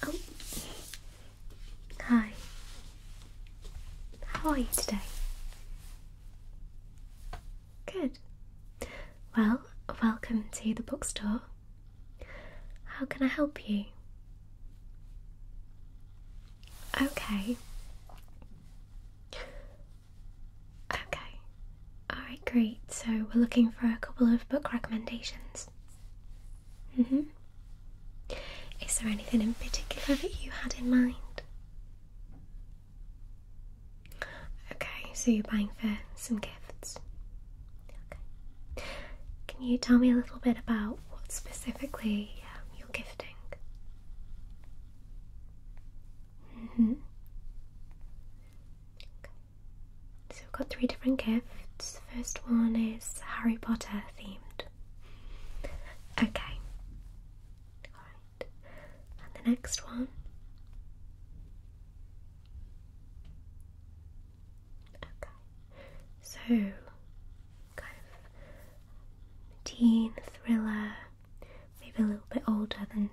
Oh. hi. How are you today? Good. Well, welcome to the bookstore. How can I help you? Okay. Okay. Alright, great. So we're looking for a couple of book recommendations. hmm Is there anything in particular that you had in mind? Okay, so you're buying for some gifts. Okay. Can you tell me a little bit about what specifically um, you're gifting? Mm hmm. Okay. So we've got three different gifts. First one is Harry Potter themed. Okay. Alright, and the next one. Okay, so kind of teen thriller, maybe a little bit older than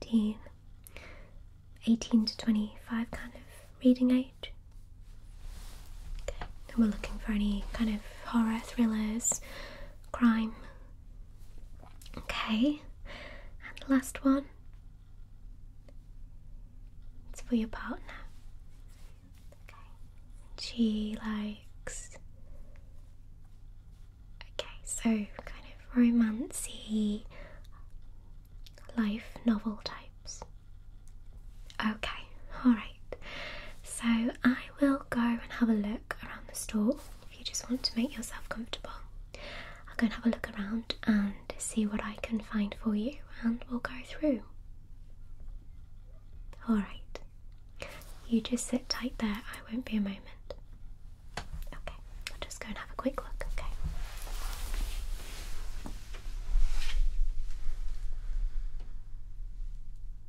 teen, 18 to 25 kind of reading age. Okay, and we're looking for any kind of horror thrillers, crime, Okay, and last one. It's for your partner. Okay, she likes. Okay, so kind of romancy, life novel types. Okay, all right. So I will go and have a look around the store if you just want to make yourself comfortable. I'll go and have a look around and see what I can find for you, and we'll go through. Alright, you just sit tight there, I won't be a moment. Okay, I'll just go and have a quick look, okay?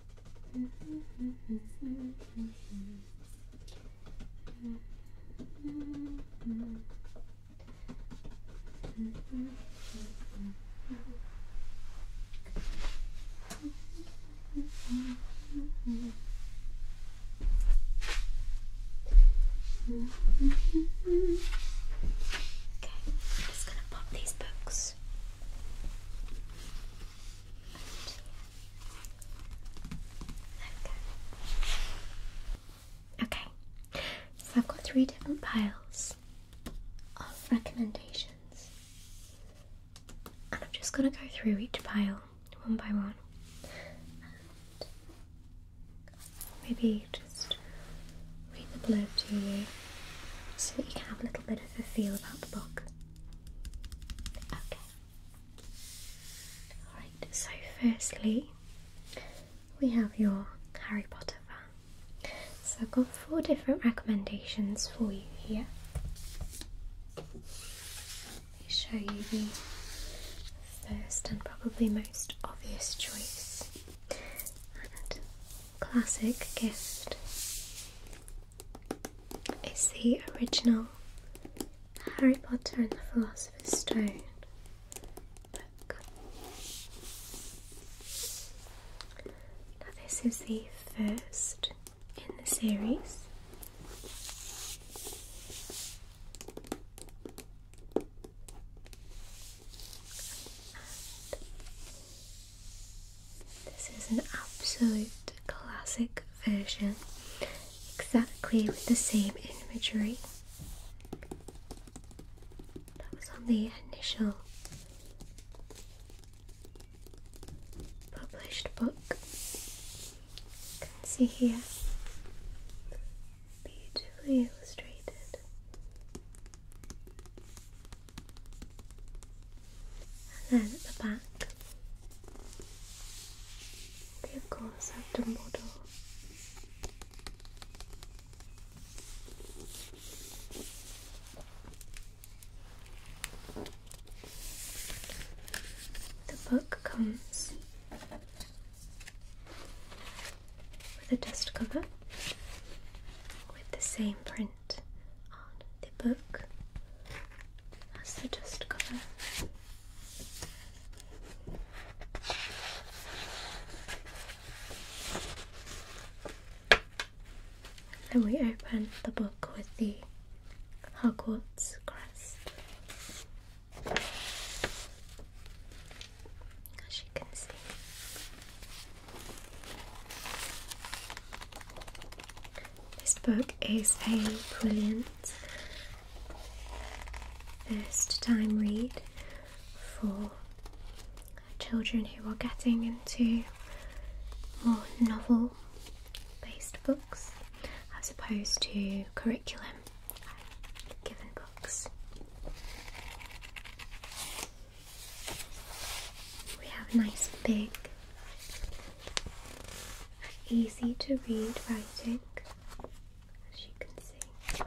Okay, I'm just going to pop these books Okay. So I've got three different piles of recommendations. And I'm just going to go through each pile one by one. And maybe just read the blurb to you so that you can have a little bit of. I feel about the book. Okay. Alright, so firstly, we have your Harry Potter fan. So I've got four different recommendations for you here. Let me show you the first and probably most obvious choice classic gift is the original Harry Potter and the Philosopher's Stone book. Now, this is the first in the series. This is an absolute classic version, exactly with the same imagery that was on the initial published book. You can see here, beautifully illustrated. And then at the back, we of course have model The book comes with a dust cover with the same print on the book as the dust cover. And then we open the book with the Hogwarts crest. As you can see, this book is a brilliant first time read for children who are getting into more novel based books as opposed to curriculum given books. We have nice big, easy to read writing, as you can see.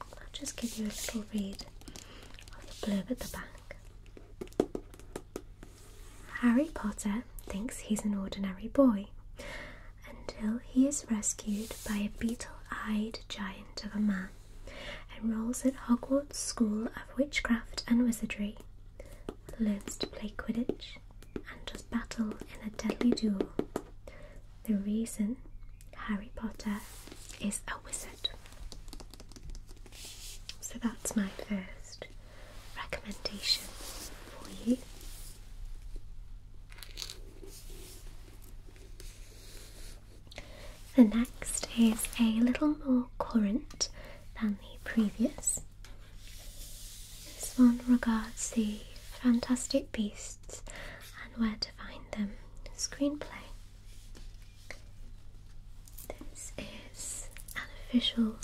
I'll just give you a little read of the blurb at the back. Harry Potter thinks he's an ordinary boy until he is rescued by a beetle eyed giant of a man, enrolls at Hogwarts School of Witchcraft and Wizardry, learns to play Quidditch, and does battle in a deadly duel. The reason Harry Potter is a wizard. So that's my first recommendation for you. The next is a little more current than the previous. This one regards the Fantastic Beasts and Where to Find Them screenplay. This is an official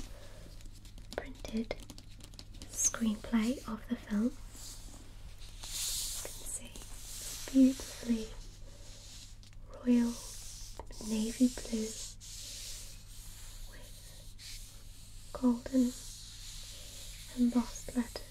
printed screenplay of the film. You can see beautifully royal navy blue with golden embossed letters.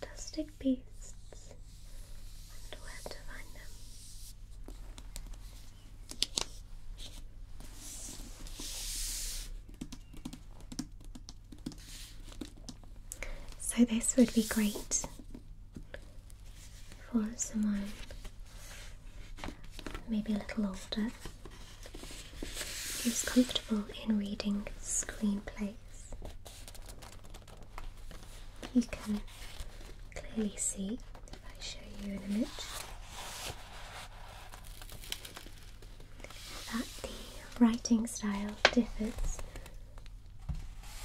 Fantastic beasts and where to find them. So, this would be great for someone maybe a little older he was comfortable in reading screenplays. You can clearly see if I show you an image that the writing style differs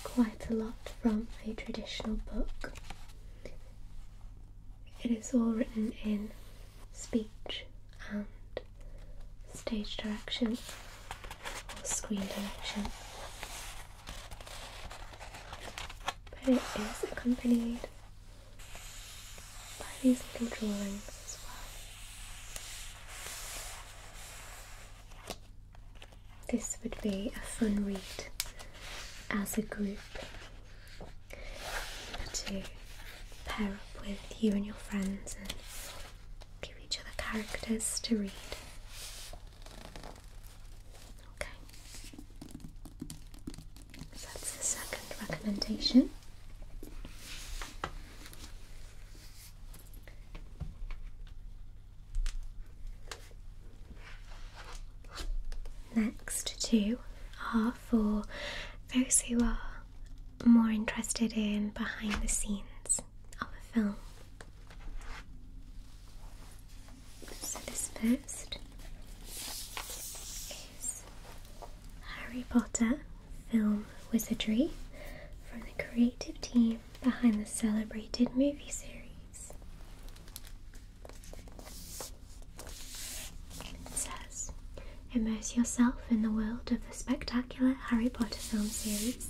quite a lot from a traditional book. It is all written in speech and stage direction or screen direction. But it is accompanied by these little drawings as well. This would be a fun read as a group to pair up with you and your friends and give each other characters to read. Okay. So that's the second recommendation. Next two are for those who are more interested in behind the scenes of a film. So, this first is Harry Potter Film Wizardry from the creative team behind the celebrated movie series. It says, immerse yourself in the world of the spectacular Harry Potter film series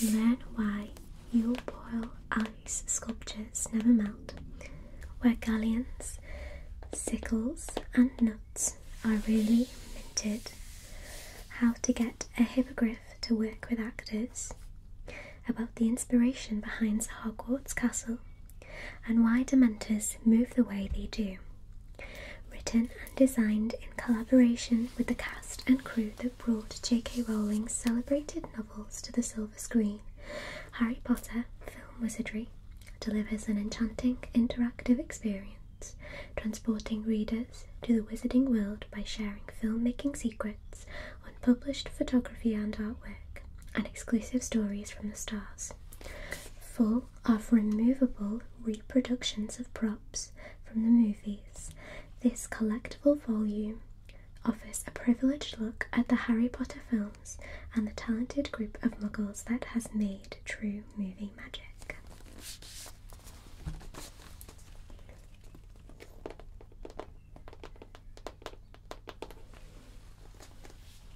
and learn why your boil ice sculptures never melt, where galleons, sickles, and nuts are really minted, how to get a hippogriff to work with actors, about the inspiration behind Hogwarts Castle and why Dementors move the way they do. Written and designed in collaboration with the cast and crew that brought J.K. Rowling's celebrated novels to the silver screen, Harry Potter Film Wizardry delivers an enchanting interactive experience, transporting readers to the wizarding world by sharing filmmaking secrets, unpublished photography and artwork, and exclusive stories from the stars. Full of removable reproductions of props from the movies, this collectible volume offers a privileged look at the Harry Potter films and the talented group of muggles that has made true movie magic.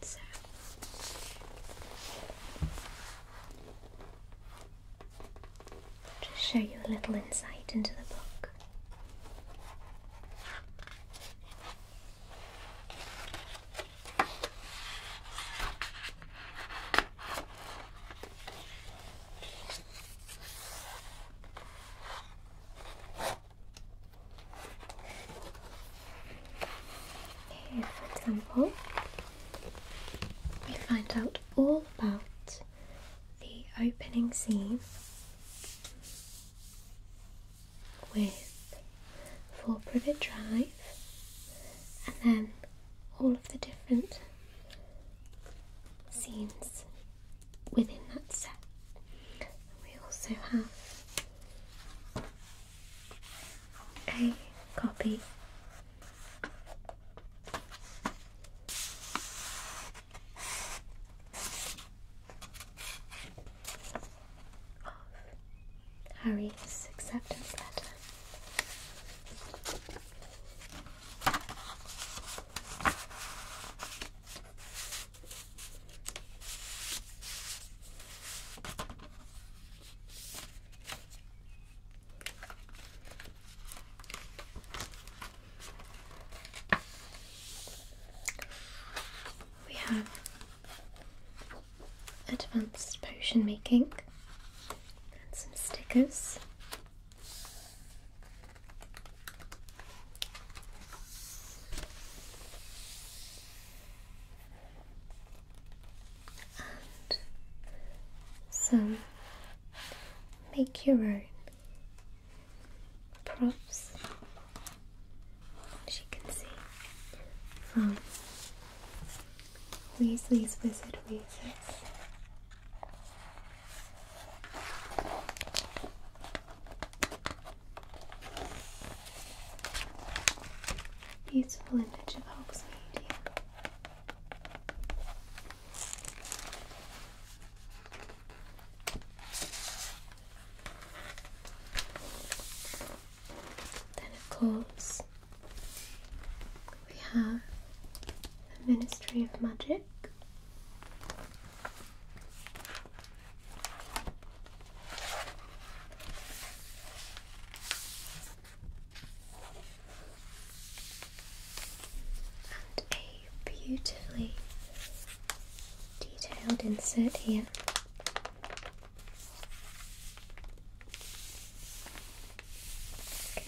So just show you a little insight into the book for example, we find out all about the opening scene with For Privet Drive and then all of the different scenes within that set. We also have a copy of Harry's acceptance letter. We have advanced potion making and some stickers some make your own props, as you can see, from Weasley's Wizard Weasels. Beautiful image of Hogsmeade here. Then, of course, we have the Ministry of Magic a beautifully detailed insert here.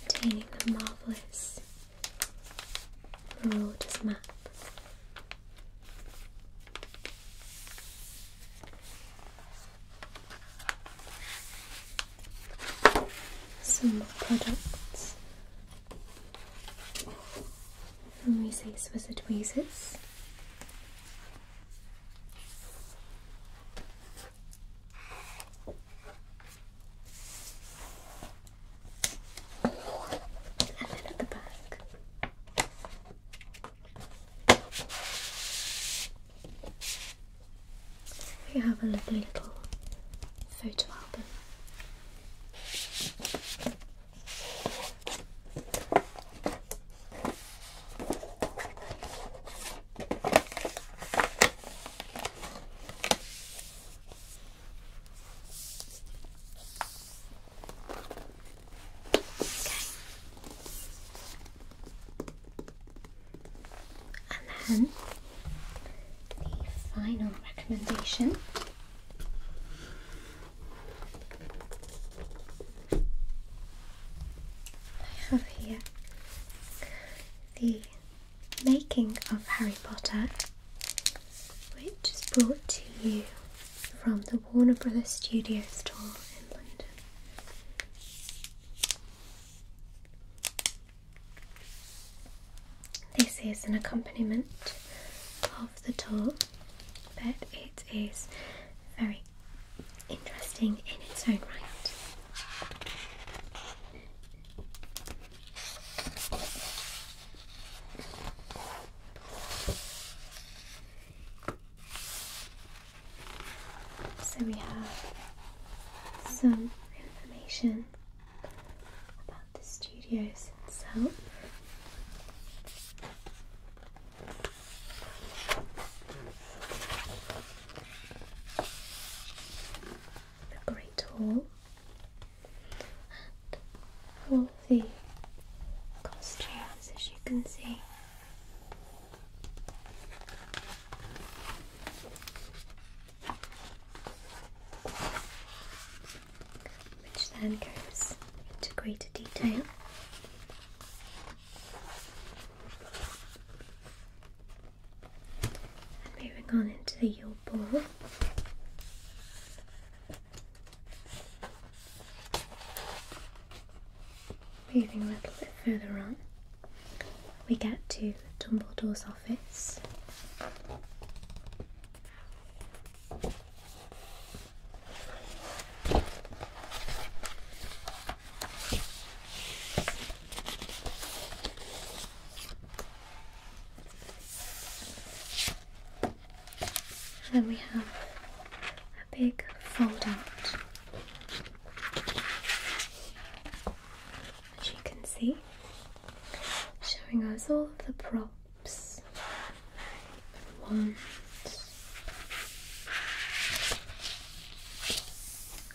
Containing the marvellous Marauders map some more products from Reese's Wizard Weezes. And then at the back, we have a lovely little photo album. And then the final recommendation. I have here the making of Harry Potter, which is brought to you from the Warner Brothers Studios tour in London. This is an accompaniment of the tour, but it is very interesting in its own right. So we have some information about the studios itself. The Great Hall and all the costumes as you can see which then goes into greater detail. And moving on into the Yule Ball. Moving a little bit further on, we get to Dumbledore's office. And then we have a big fold as you can see, showing us all of the props, wands,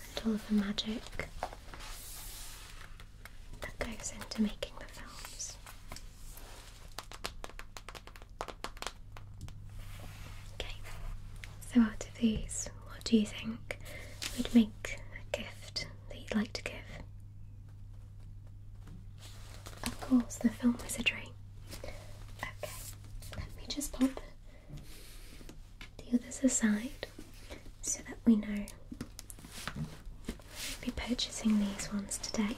and all of the magic that goes into making the films. Okay, so out of these, what do you think would make a gift that you'd like to give? Of course, the film was a dream. Okay, let me just pop the others aside so that we know we'll be purchasing these ones today.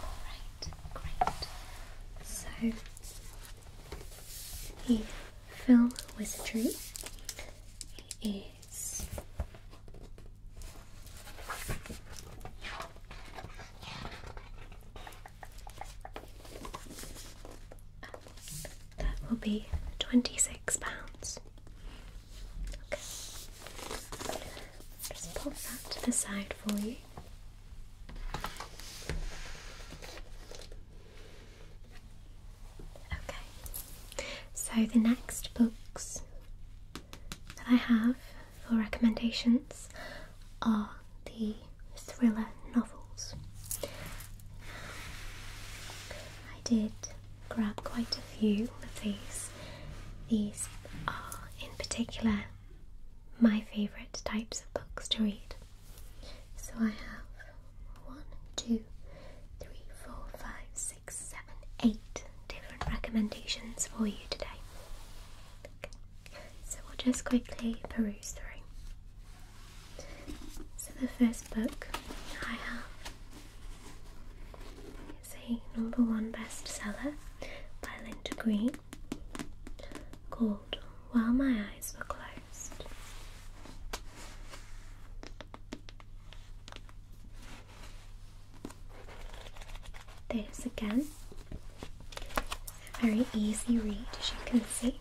Great, great. So, the film wizardry is that will be twenty six pounds. Just pop that to the side for you. Okay. So the next books that I have for recommendations are the thriller novels. I did grab quite a few of these. These are, in particular, my favourite types of books to read. So I have one, two, three, four, five, six, seven, eight different recommendations for you today. So we'll just quickly peruse through. So the first book I have is a number one bestseller by Linda Green called While My Eyes Were Closed. There's again a very easy read as you can see.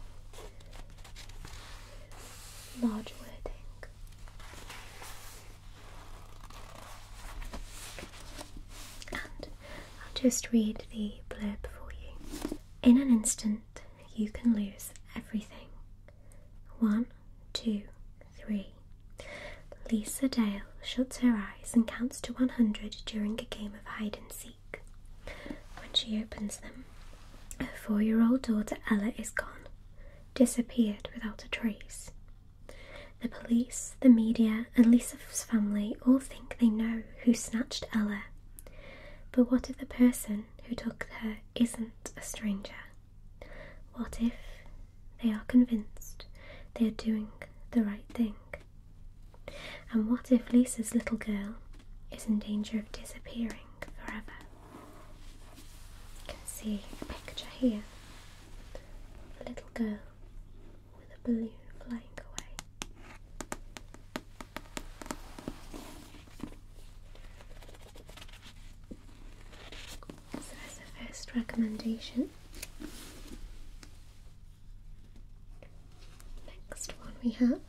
Large wording. I'll just read the blurb for you. In an instant, you can lose everything. One, two, three. Lisa Dale shuts her eyes and counts to 100 during a game of hide and seek. When she opens them, her four year old daughter Ella is gone disappeared without a trace. The police, the media, and Lisa's family all think they know who snatched Ella. But what if the person who took her isn't a stranger? What if they are convinced they are doing the right thing? And what if Lisa's little girl is in danger of disappearing? forever. You can see a picture here a little girl with a balloon flying away. So as a first recommendation. Next one we have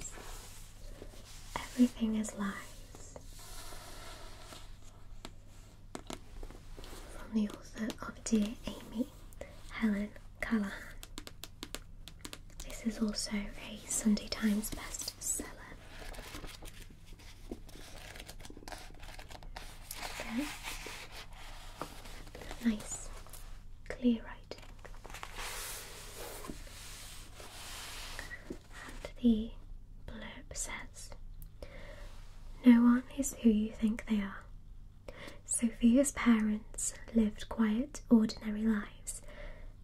is Everything is lies. From the author of Dear Amy, Helen Callahan. This is also a Sunday Times bestseller. Okay. Nice, clear writing. And the blurb says No one is who you think they are. Sophia's parents lived quiet, ordinary lives.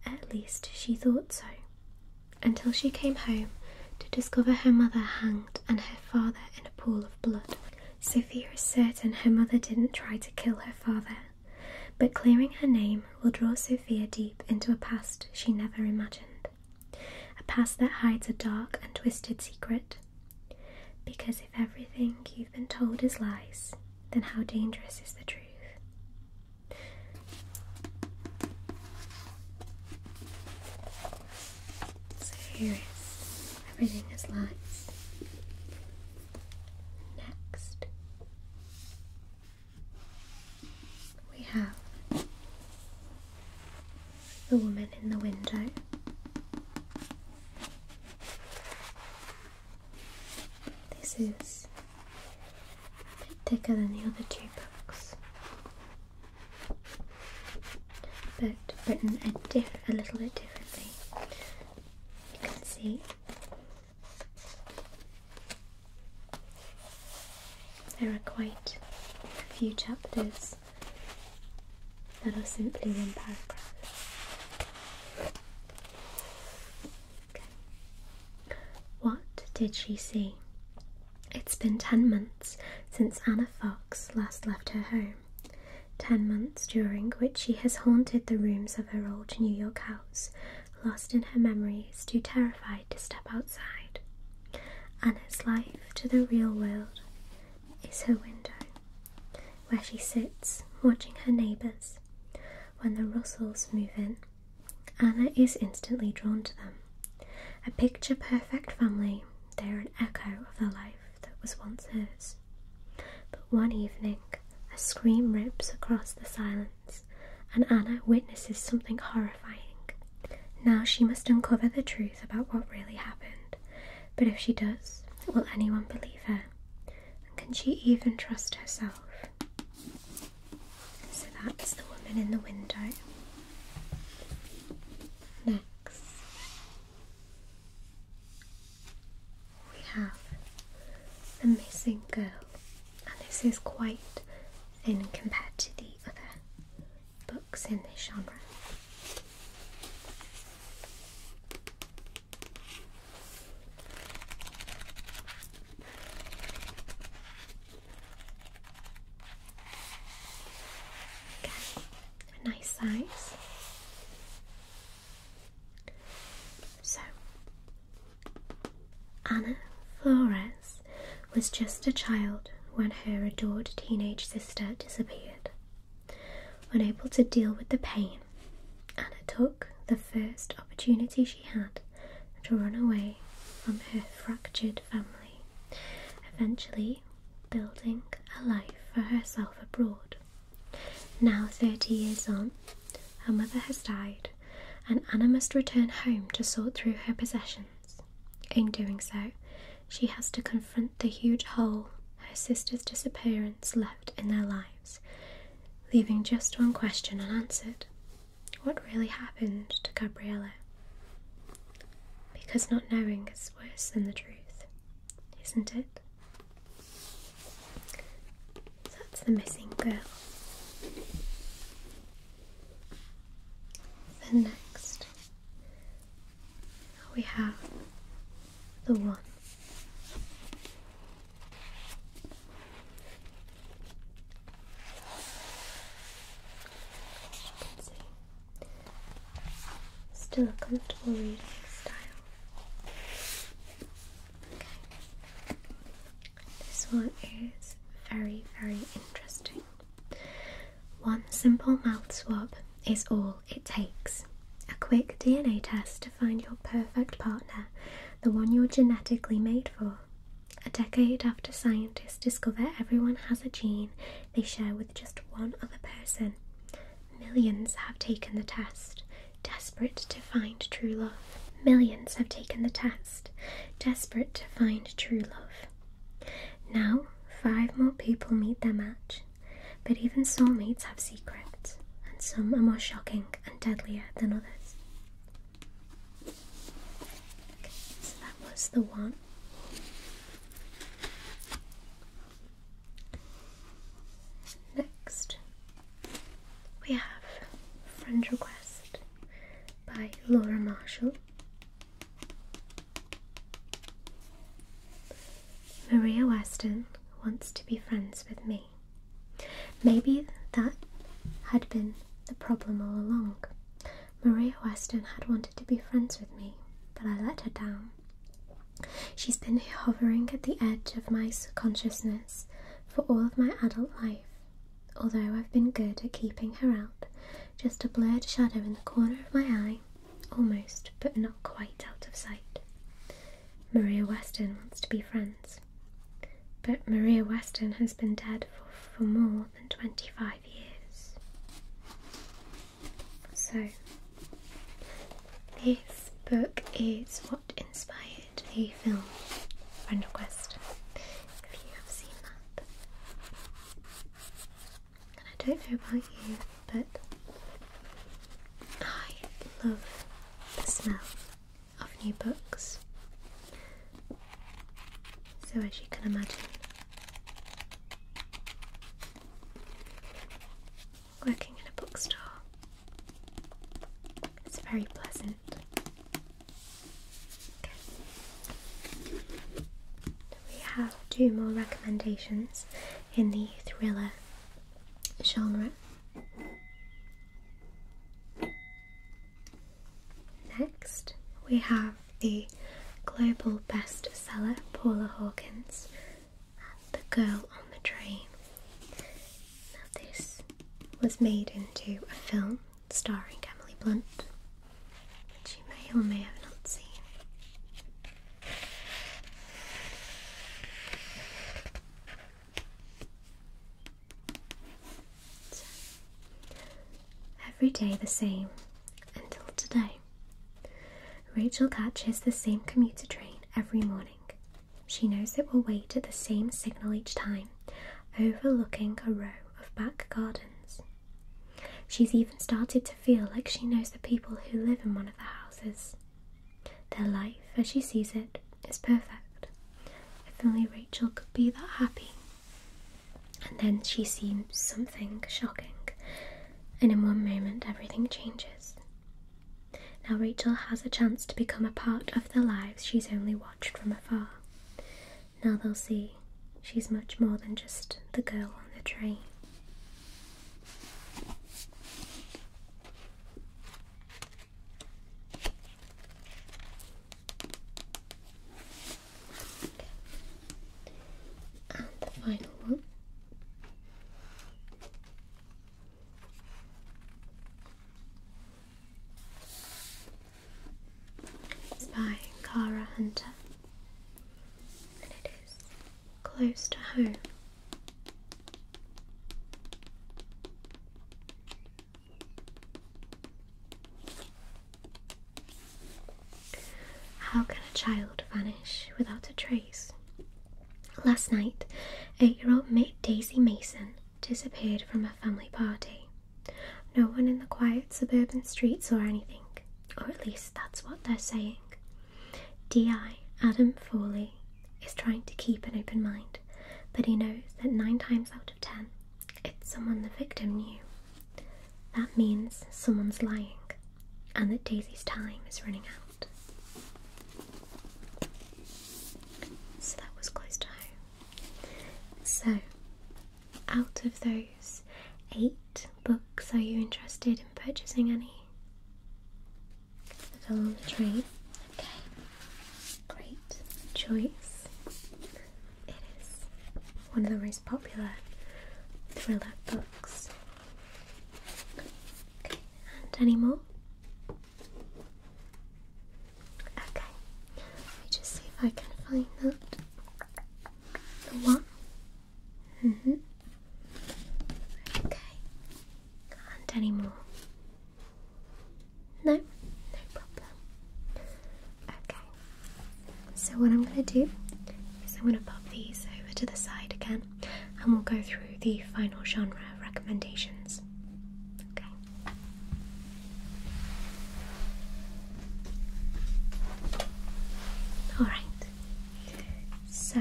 At least she thought so. Until she came home to discover her mother hanged and her father in a pool of blood. Sophia is certain her mother didn't try to kill her father but clearing her name will draw Sophia deep into a past she never imagined, a past that hides a dark and twisted secret. Because if everything you've been told is lies, then how dangerous is the truth? So everything is lies. Next, we have the woman in the window. This is a bit thicker than the other two books, but written a, little bit differently. You can see there are quite a few chapters that are simply one paragraph. What did she see? It's been ten months since Anna Fox last left her home. Ten months during which she has haunted the rooms of her old New York house lost in her memories, too terrified to step outside. Anna's life to the real world is her window, where she sits watching her neighbours. When the Russells move in, Anna is instantly drawn to them. A picture perfect family, they are an echo of the life that was once hers. But one evening, a scream rips across the silence and Anna witnesses something horrifying. Now she must uncover the truth about what really happened, but if she does, will anyone believe her? can she even trust herself? So that's the woman in the window. Next, we have the missing girl and this is quite thin compared to the other books in this genre. Again, nice size. So, Anna Flores was just a child when her adored teenage sister disappeared. Unable to deal with the pain, Anna took the first opportunity she had to run away from her fractured family, eventually building a life for herself abroad. Now, 30 years on, her mother has died and Anna must return home to sort through her possessions. In doing so, she has to confront the huge hole her sister's disappearance left in their lives, leaving just one question unanswered what really happened to Gabriella? Because not knowing is worse than the truth, isn't it? that's the missing girl. The next we have the one. See. Still a comfortable reading style. This one is very, very interesting. One simple mouth swap is all it takes. A quick DNA test to find your perfect partner, the one you're genetically made for. A decade after scientists discover everyone has a gene they share with just one other person, millions have taken the test, desperate to find true love. Millions have taken the test, desperate to find true love. Now, five more people meet their match, but even soulmates have secrets, and some are more shocking and deadlier than others. so that was the one. Next, we have Friend Request by Laura Marshall, Maria Weston wants to be friends with me. Maybe that had been the problem all along. Maria Weston had wanted to be friends with me, but I let her down. She's been hovering at the edge of my consciousness for all of my adult life, although I've been good at keeping her out, just a blurred shadow in the corner of my eye, almost but not quite out of sight. Maria Weston wants to be friends, but Maria Weston has been dead for, for more than 25 years. So, this book is what inspired did a film, Friend Request, if you have seen that. And I don't know about you, but I love the smell of new books. So, as you can imagine, working in a bookstore. It's very pleasant. We have two more recommendations in the thriller genre. Next, we have the global bestseller Paula Hawkins and The Girl on the Train this was made into a film starring Emily Blunt, which you may or may have not seen. every day the same until today. Rachel catches the same commuter train every morning she knows that will wait at the same signal each time, overlooking a row of back gardens. She's even started to feel like she knows the people who live in one of the houses. Their life, as she sees it, is perfect. If only Rachel could be that happy. And then she sees something shocking, and in one moment everything changes. Now Rachel has a chance to become a part of the lives she's only watched from afar. Now they'll see she's much more than just the girl on the train. And the final one by Cara Hunter and it is close to home. How can a child vanish without a trace? Last night, eight year old Daisy Mason disappeared from a family party. No one in the quiet suburban streets saw anything, or at least that's what they're saying. DI Adam Foley is trying to keep an open mind, but he knows that nine times out of ten, it's someone the victim knew. That means someone's lying, and that Daisy's time is running out. So that was close to home. So, out of those eight books, are you interested in purchasing any? That are on the train. Okay, great choice. It is one of the most popular thriller books. Okay, and any more? Okay, let me just see if I can find that. The one. Mm hmm Okay. Can't anymore. No, no problem. Okay. So what I'm gonna do is I'm gonna pop these over to the side again and we'll go through the final genre recommendations. Okay. Alright. So,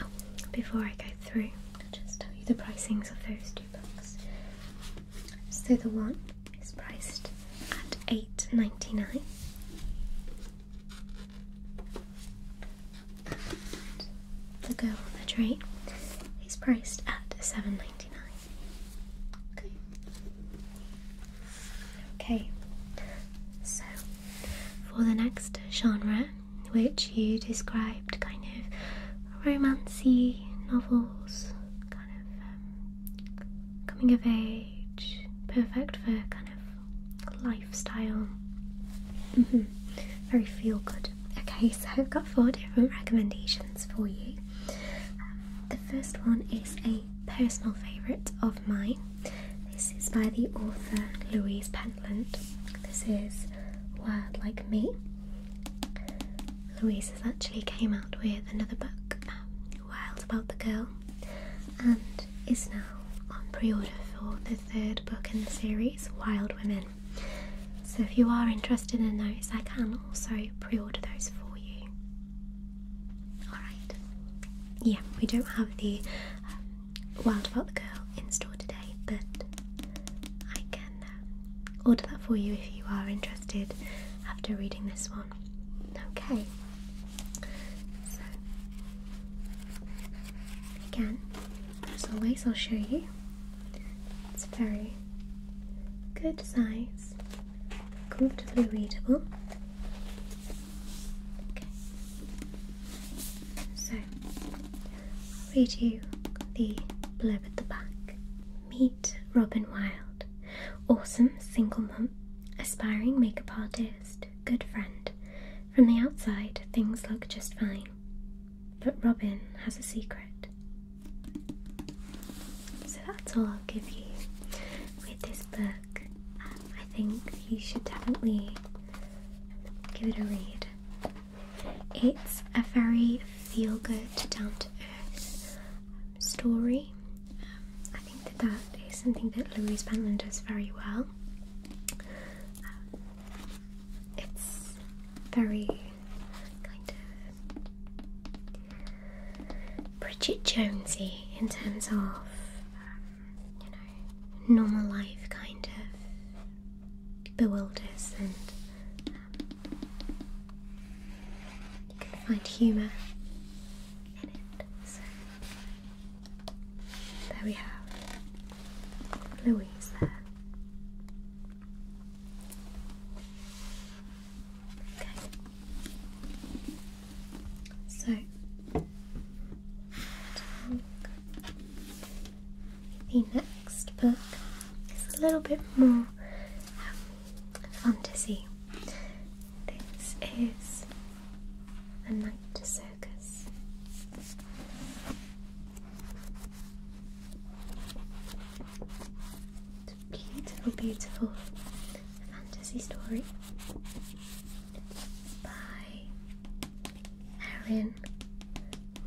um, before I go through, I'll just tell you the pricings of those two books. So the one is priced at $8.99 the girl on the tray is priced at seven ninety nine. Okay. Okay. So for the next genre, which you described kind of romancy novels, kind of um, coming of age, perfect for kind of lifestyle. Mm-hmm. Very feel good. Okay, so I've got four different recommendations for you. the first one is a personal favourite of mine. This is by the author Louise Pentland. This is Wild Like Me. Louise has actually came out with another book, Wild About the Girl, and is now on pre-order for third book in the series, Wild Women. So if you are interested in those, I can also pre order those for you. Alright. Yeah, we don't have the um, Wild About the Girl in store today, but I can um, order that for you if you are interested after reading this one. Okay again, as always, I'll show you. It's very good size, comfortably readable. Okay. So, I'll read you the blurb at the back. Meet Robin Wild, awesome single mum, aspiring makeup artist, good friend, from the outside, things look just fine. But Robin has a secret. So that's all I'll give you with this book. Um, I think you should definitely give it a read. It's a very feel good, down to earth um, story. Um, I think that that is something that Louise Penland does very well. It's very kind of Bridget Jonesy in terms of um, you know normal life kind of bewilders and um, you can find humour in it. There we have Louise Okay. So the next book is a little bit more um, fantasy. This is *A Night to Desert a beautiful, fantasy story by Erin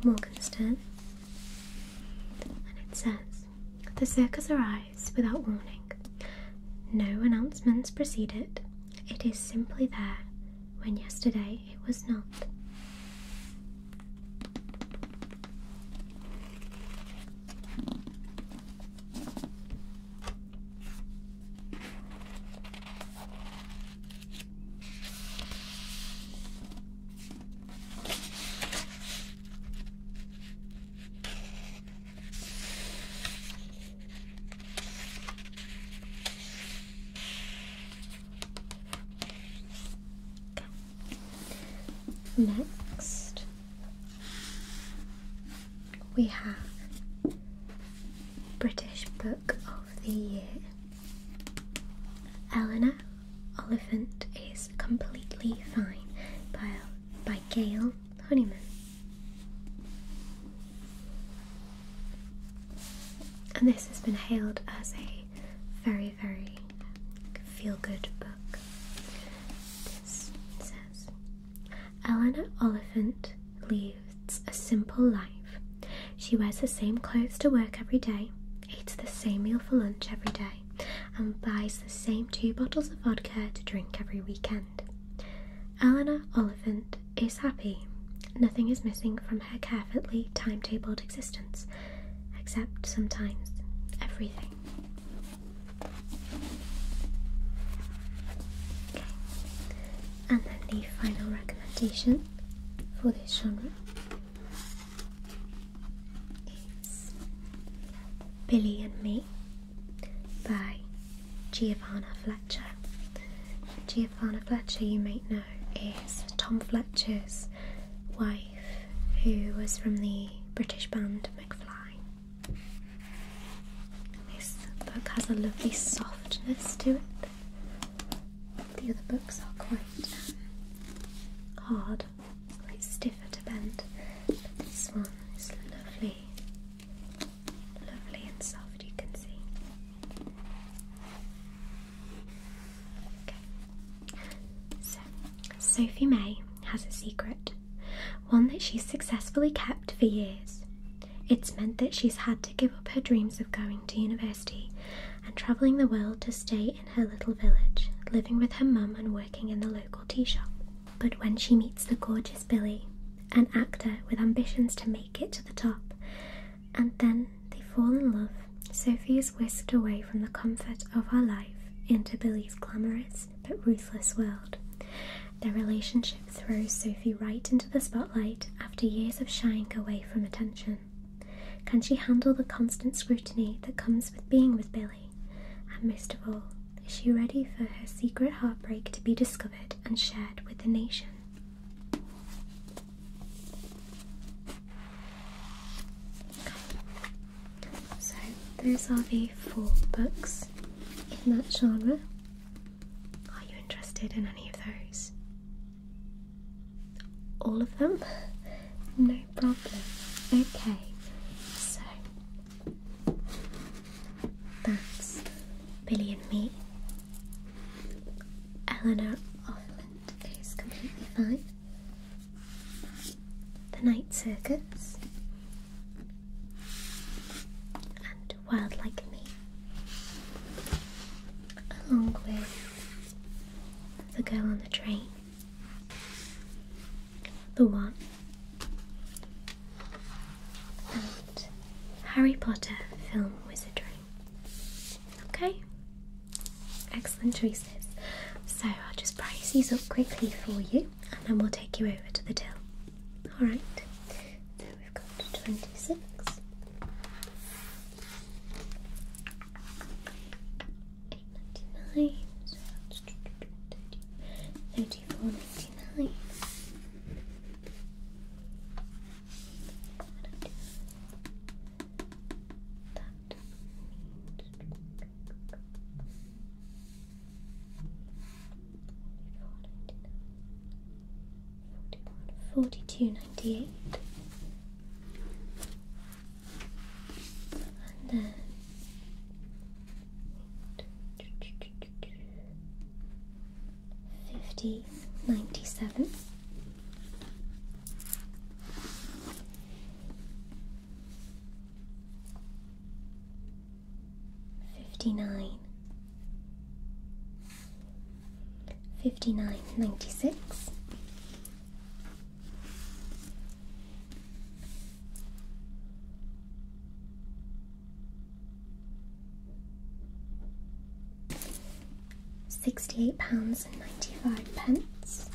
Morgenstern. And it says The circus arrives without warning. No announcements precede it. It is simply there when yesterday it was not. Next, we have British Book of the Year. Eleanor Oliphant is Completely Fine by, by Gail Honeyman. And this has been hailed as a very, very feel good book. This says Eleanor Oliphant leads a simple life. She wears the same clothes to work every day, eats the same meal for lunch every day, and buys the same two bottles of vodka to drink every weekend. Eleanor Oliphant is happy. Nothing is missing from her carefully timetabled existence, except sometimes everything. Okay. And then the final recommendation for this genre is Billy and Me Bye. Giovanna Fletcher. Giovanna Fletcher, you may know, is Tom Fletcher's wife, who was from the British band McFly. This book has a lovely softness to it. The other books are quite um, hard, quite stiffer to bend, but this one is lovely lovely and soft, you can see. Sophie May has a secret, one that she's successfully kept for years. It's meant that she's had to give up her dreams of going to university and travelling the world to stay in her little village, living with her mum and working in the local tea shop. But when she meets the gorgeous Billy, an actor with ambitions to make it to the top, and then they fall in love. Sophie is whisked away from the comfort of her life into Billy's glamorous but ruthless world. Their relationship throws Sophie right into the spotlight after years of shying away from attention. Can she handle the constant scrutiny that comes with being with Billy? And most of all, is she ready for her secret heartbreak to be discovered and shared with the nation? So those are the four books in that genre. Are you interested in any of those? All of them? No problem. Okay, so that's Billy and me. Eleanor Offland is completely fine. The Night Circus and Wild Like Me, along with The Girl on the Train, The One, Harry Potter film wizardry. Okay? Excellent choices. So I'll just price these up quickly for you and then we'll take you over to the till. Alright, so we've got 26. Eight ninety nine, thirty four ninety nine, Forty-two ninety-eight, and then fifty ninety seven. Fifty nine, fifty nine ninety six, Sixty-eight pounds and ninety-five pence.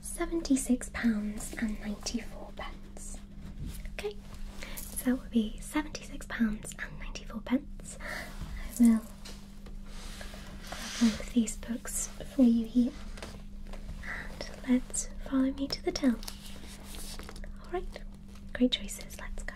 Seventy-six pounds and ninety-four pence. Okay, so that would be £76.94. and I will grab all of these books for you here. And let's follow me to the till. Alright, great choices, let's go.